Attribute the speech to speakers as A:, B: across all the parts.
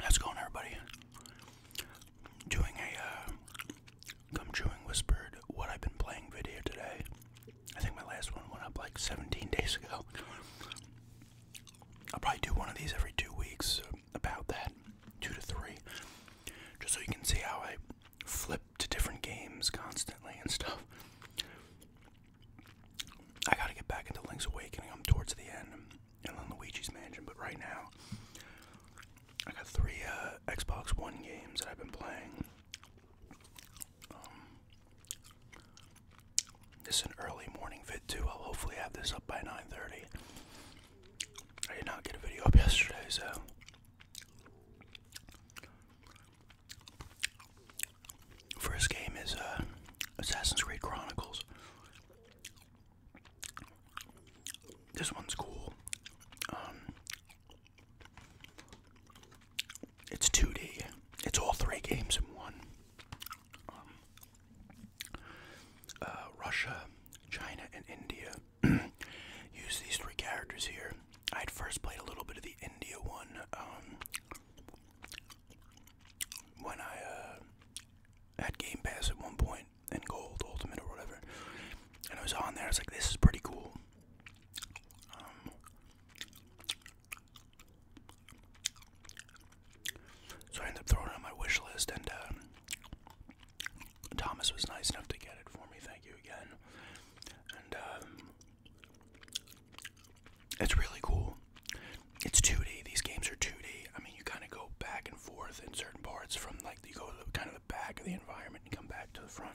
A: That's going, everybody? Doing a Come uh, Chewing Whispered What I've Been Playing video today. I think my last one went up like 17 days ago. I'll probably do one of these every two weeks, uh, about that, two to three, just so you can see how I flip to different games constantly and stuff. I gotta get back into Link's Awakening. I'm towards the end, and on Luigi's Mansion. But right now, I got three uh, Xbox One games that I've been playing. Um, this is an early morning vid too. I'll hopefully have this up by 9:30. I did not get a video up yesterday, so First game is uh, Assassin's Creed Chronicles. This one's cool. Um, it's 2D. It's all three games in one. Um, uh, Russia, China, and India use these three characters here I had first played a little bit of the India one um, when I uh, had Game Pass at one point and Gold Ultimate or whatever, and I was on there. I was like, "This is pretty cool." Um, so I ended up throwing it on my wish list, and uh, Thomas was nice enough to get it for me. Thank you again. And um, it's really cool. It's 2D. These games are 2D. I mean, you kind of go back and forth in certain parts from like you go kind of the back of the environment and come back to the front.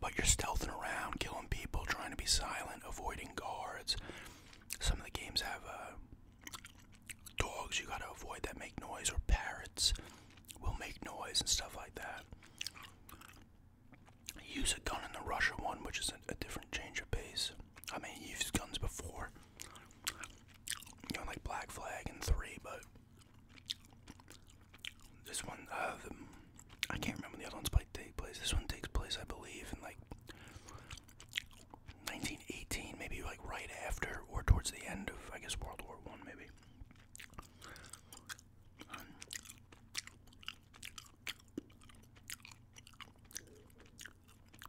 A: But you're stealthing around, killing people, trying to be silent, avoiding guards. Some of the games have uh, dogs you gotta avoid that make noise, or parrots will make noise and stuff like that. Use a gun in the Russia one, which is a, different change of pace. I mean, you used guns before, you know, like Black Flag in Three, but this one, uh, I can't remember the other ones take place. This one takes place, I believe, in like 1918, maybe like right after or towards the end of, I guess, World War One, maybe.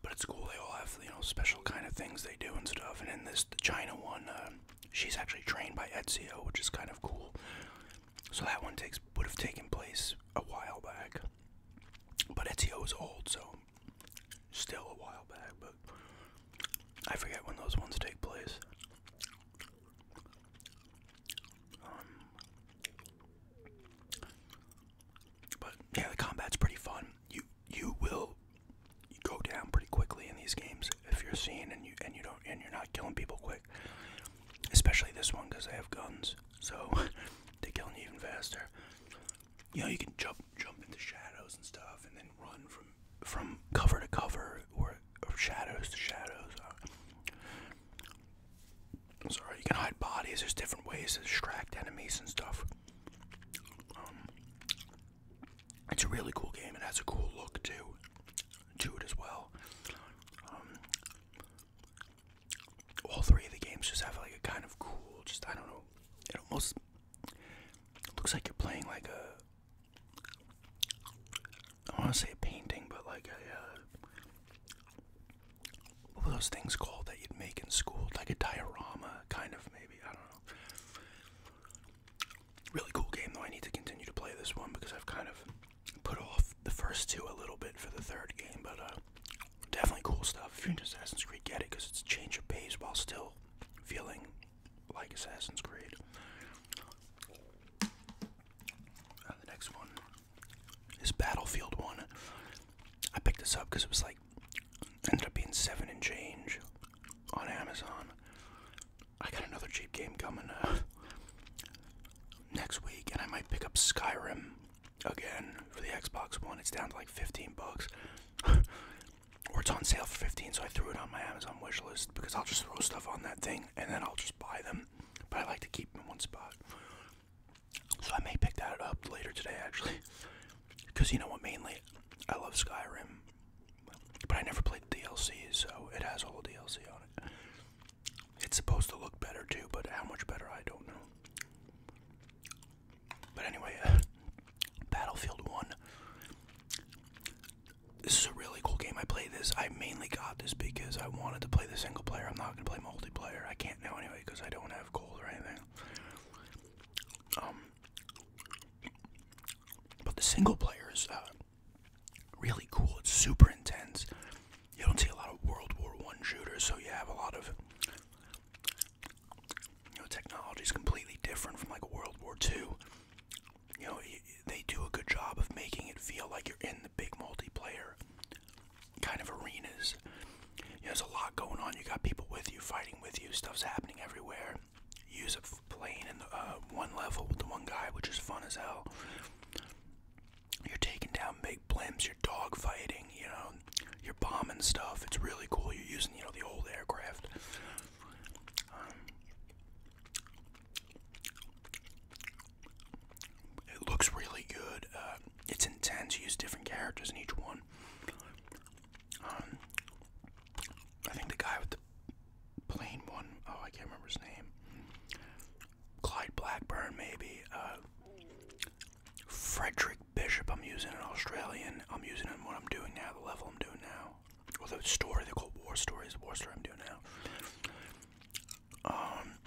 A: But it's cool. They all have you know special kind of things they do and stuff. And in this the China one, uh, she's actually trained by Ezio, which is kind of cool. So that one takes would have taken place a while back. But Ezio is old, so still a while back. But I forget when those ones take place. Um, but yeah, the combat's pretty fun. You you will go down pretty quickly in these games if you're seen and you and you don't and you're not killing people quick. Especially this one because they have guns, so they kill you even faster. You know, you can jump jump into shadows and stuff, and then run from from cover to cover or or shadows to shadows. Uh, sorry, you can hide bodies. There's different ways to distract enemies and stuff. Um, it's a really cool game. It has a cool look too, to it as well. Um, all three of the games just have like a kind of cool, just I don't know. It almost looks like you're playing like a I want to say a painting, but like a uh, what were those things called that you'd make in school? Like a diorama, kind of maybe. I don't know. Really cool game though. I need to continue to play this one because I've kind of put off the first two a little bit for the third game, but uh, definitely cool stuff. If you're Assassin's Creed, get it because it's a change of pace while still feeling like Assassin's Creed. And the next one is Battlefield 1. I picked this up because it was like, ended up being 7 in change on Amazon. I got another cheap game coming uh, next week, and I might pick up Skyrim again for the Xbox One. It's down to like 15 bucks. or it's on sale for 15, so I threw it on my Amazon wish list because I'll just throw stuff on that thing and then I'll just buy them but I like to keep them in one spot. So I may pick that up later today, actually, because you know what? Mainly, I love Skyrim, but I never played the DLC, so it has all the DLC on it. It's supposed to look better too, but how much better I don't know. But anyway, uh, Battlefield One this is a really cool game. I play this. I mainly got this because I wanted to play the single player. I'm not gonna play multiplayer. I can't now anyway because I don't have gold or anything. Um, but the single player is uh, really cool. It's super intense. You don't see a lot of World War One shooters, so you have a lot of you know technology is completely different from like World War Two you know, they do a good job of making it feel like you're in the big multiplayer kind of arenas. there's a lot going on. You got people with you, fighting with you. Stuff's happening everywhere. You use a plane in the uh, one level with the one guy, which is fun as hell. You're taking down big blimps. You're dogfighting. You know, you're bombing stuff. It's really cool. You're using you know the old aircraft. Um, it looks really good. Uh, it's intense. You use different characters in each one. Um, I think the guy with the plain one, oh, I can't remember his name. Clyde Blackburn, maybe. Uh, Frederick Bishop, I'm using an Australian. I'm using in what I'm doing now, the level I'm doing now. Or the story, they call War Stories, the War Story I'm doing now. Um,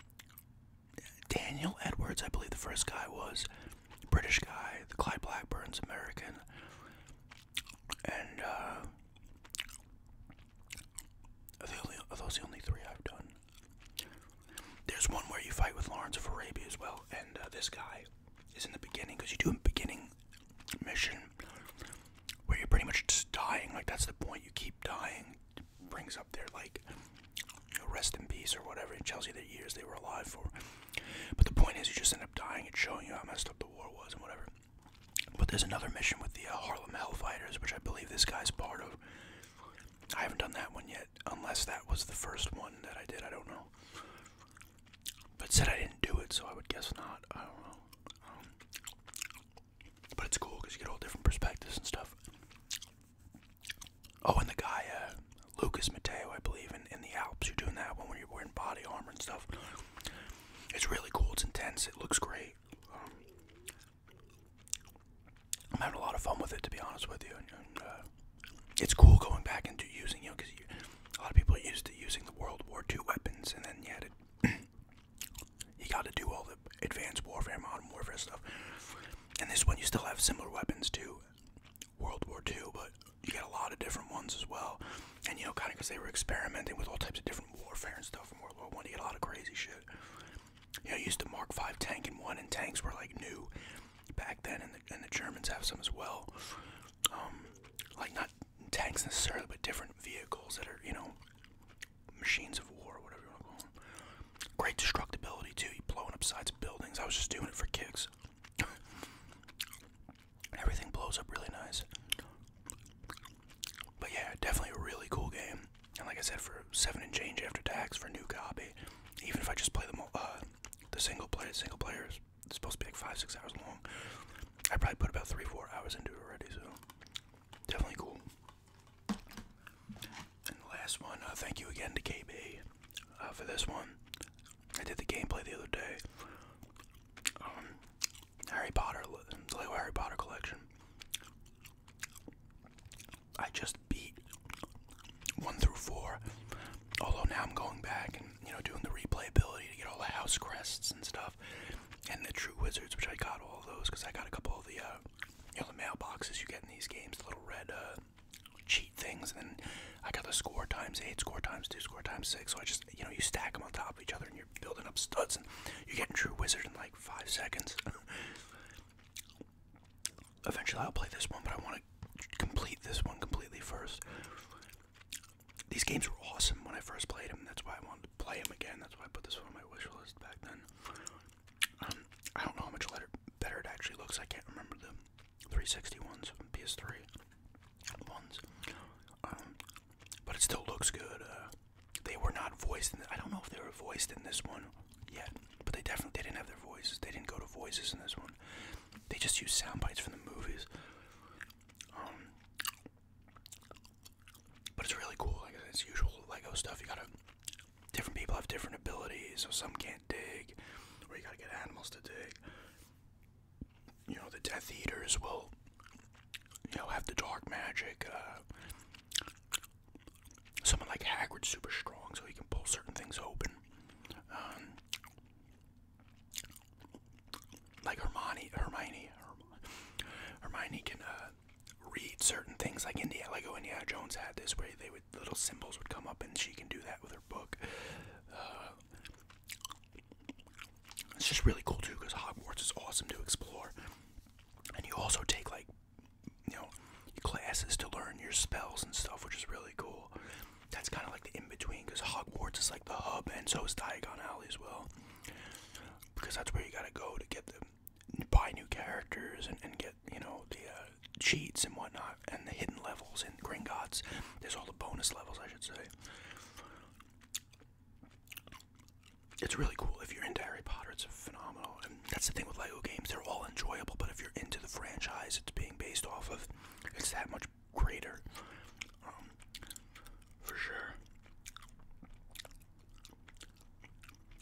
A: Daniel Edwards, I believe the first guy was British guy. The Clyde Blackburn's American, and uh, those the only three I've done? There's one where you fight with Lawrence of Arabia as well, and uh, this guy is in the beginning because you do a beginning mission where you're pretty much just dying. Like that's the point. You keep dying brings up their like you know, rest in peace or whatever and tells you the years they were alive for but the point is you just end up dying and showing you how messed up the war was and whatever but there's another mission with the uh, harlem hellfighters which i believe this guy's part of i haven't done that one yet unless that was the first one that i did i don't know but said i didn't do it so i would guess not i don't know um, but it's cool because you get all different perspectives and stuff. Oh, and the guy, uh, Lucas Mateo, I believe, in, in the Alps, you're doing that one when you're wearing body armor and stuff. It's really cool. It's intense. It looks great. Um, I'm having a lot of fun with it, to be honest with you. And, uh, it's cool going back into using, you know, because a lot of people are used to using the World War II weapons, and then you had to you got to do all the advanced warfare, modern warfare stuff. And this one, you still have similar weapons to World War II, but you get a lot of different ones as well. And you know, kind of because they were experimenting with all types of different warfare and stuff from World War One, you get a lot of crazy shit. You know, used to Mark V tank and one, and tanks were like new back then, and the, and the Germans have some as well. Um, like not tanks necessarily, but different vehicles that are you know machines of war, whatever you want to call them. Great destructibility too. You blowing up sides of buildings. I was just doing it for kicks. Everything blows up really nice. But yeah, definitely a really cool game. And like I said, for seven and change after tax for new copy, even if I just play uh, the single player, single player supposed to be like five, six hours long. I probably put about three, four hours into it already, so definitely cool. And the last one, uh, thank you again to KB uh, for this one. I did the gameplay the other day. Um, Harry Potter, the Lego Harry Potter collection. I just beat one through four. Although now I'm going back and you know doing the replayability to get all the house crests and stuff, and the True Wizards, which I got all those because I got a couple of the uh, you know, the mailboxes you get in these games, the little red uh, cheat things, and then I got the score times eight, score times two, score times six. So I just, you know, you stack them on top of each other, and you're building up studs, and you're getting True Wizard in like five seconds. Eventually, I'll play this one, but I want to complete this one completely first. These games were awesome when I first played them. That's why I wanted to play them again. That's why I put this one on my wish list back then. I don't know how much letter, better it actually looks. I can't remember the three hundred and sixty ones, ones, PS3 um, but it still looks good. Uh, they were not voiced. In the, I don't know if they were voiced in this one yet, but they definitely they didn't have their voices. They didn't go to voices in this one. They just used sound bites from the movies. Um, but it's really cool, like it's usual Lego stuff. You gotta different people have different abilities, so some can't dig, or you gotta get animals to dig. You know, the Death Eaters will, you know, have the dark magic. Uh, someone like Hagrid's super strong, so he can pull certain things open. Um, like Hermione, Hermione, Hermione can uh, read certain things like Indiana, like oh, Indiana Jones had this where they would little symbols would come up and she can do that with her book. Uh, it's just really cool too because Hogwarts is awesome to explore, and you also take like you know classes to learn your spells and stuff, which is really cool. That's kind of like the in between because Hogwarts is like the hub, and so is Diagon Alley as well. Because that's where you gotta go to get the buy new characters and, get you know the uh, cheats and whatnot and the hidden levels in Gringotts. There's all the bonus levels, I should say. It's really cool if you're into Harry Potter. It's phenomenal, and that's the thing with Lego games. They're all enjoyable, but if you're into the franchise it's being based off of, it's that much greater, um, for sure.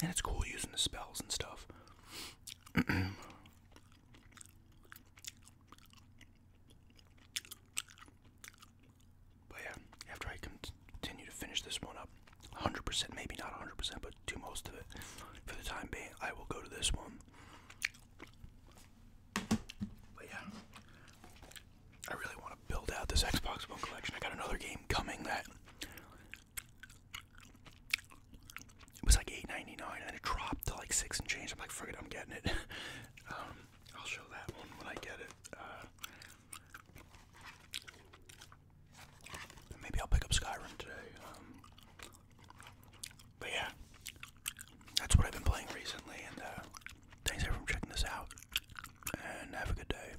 A: And it's cool using the spells and stuff. But yeah, after I continue to finish this one up, 100%, maybe not 100%, but do most of it for the time being, I will go to this one. But yeah, I really want to build out this Xbox One collection. I got another game coming that it was like eight ninety nine, and then it dropped to like six and change. I'm like, forget, I'm getting it. Um, I'll show that one when I get it. Uh, maybe I'll pick up Skyrim today. Um, but yeah, that's what I've been playing recently, and uh, thanks everyone for checking this out. And have a good day.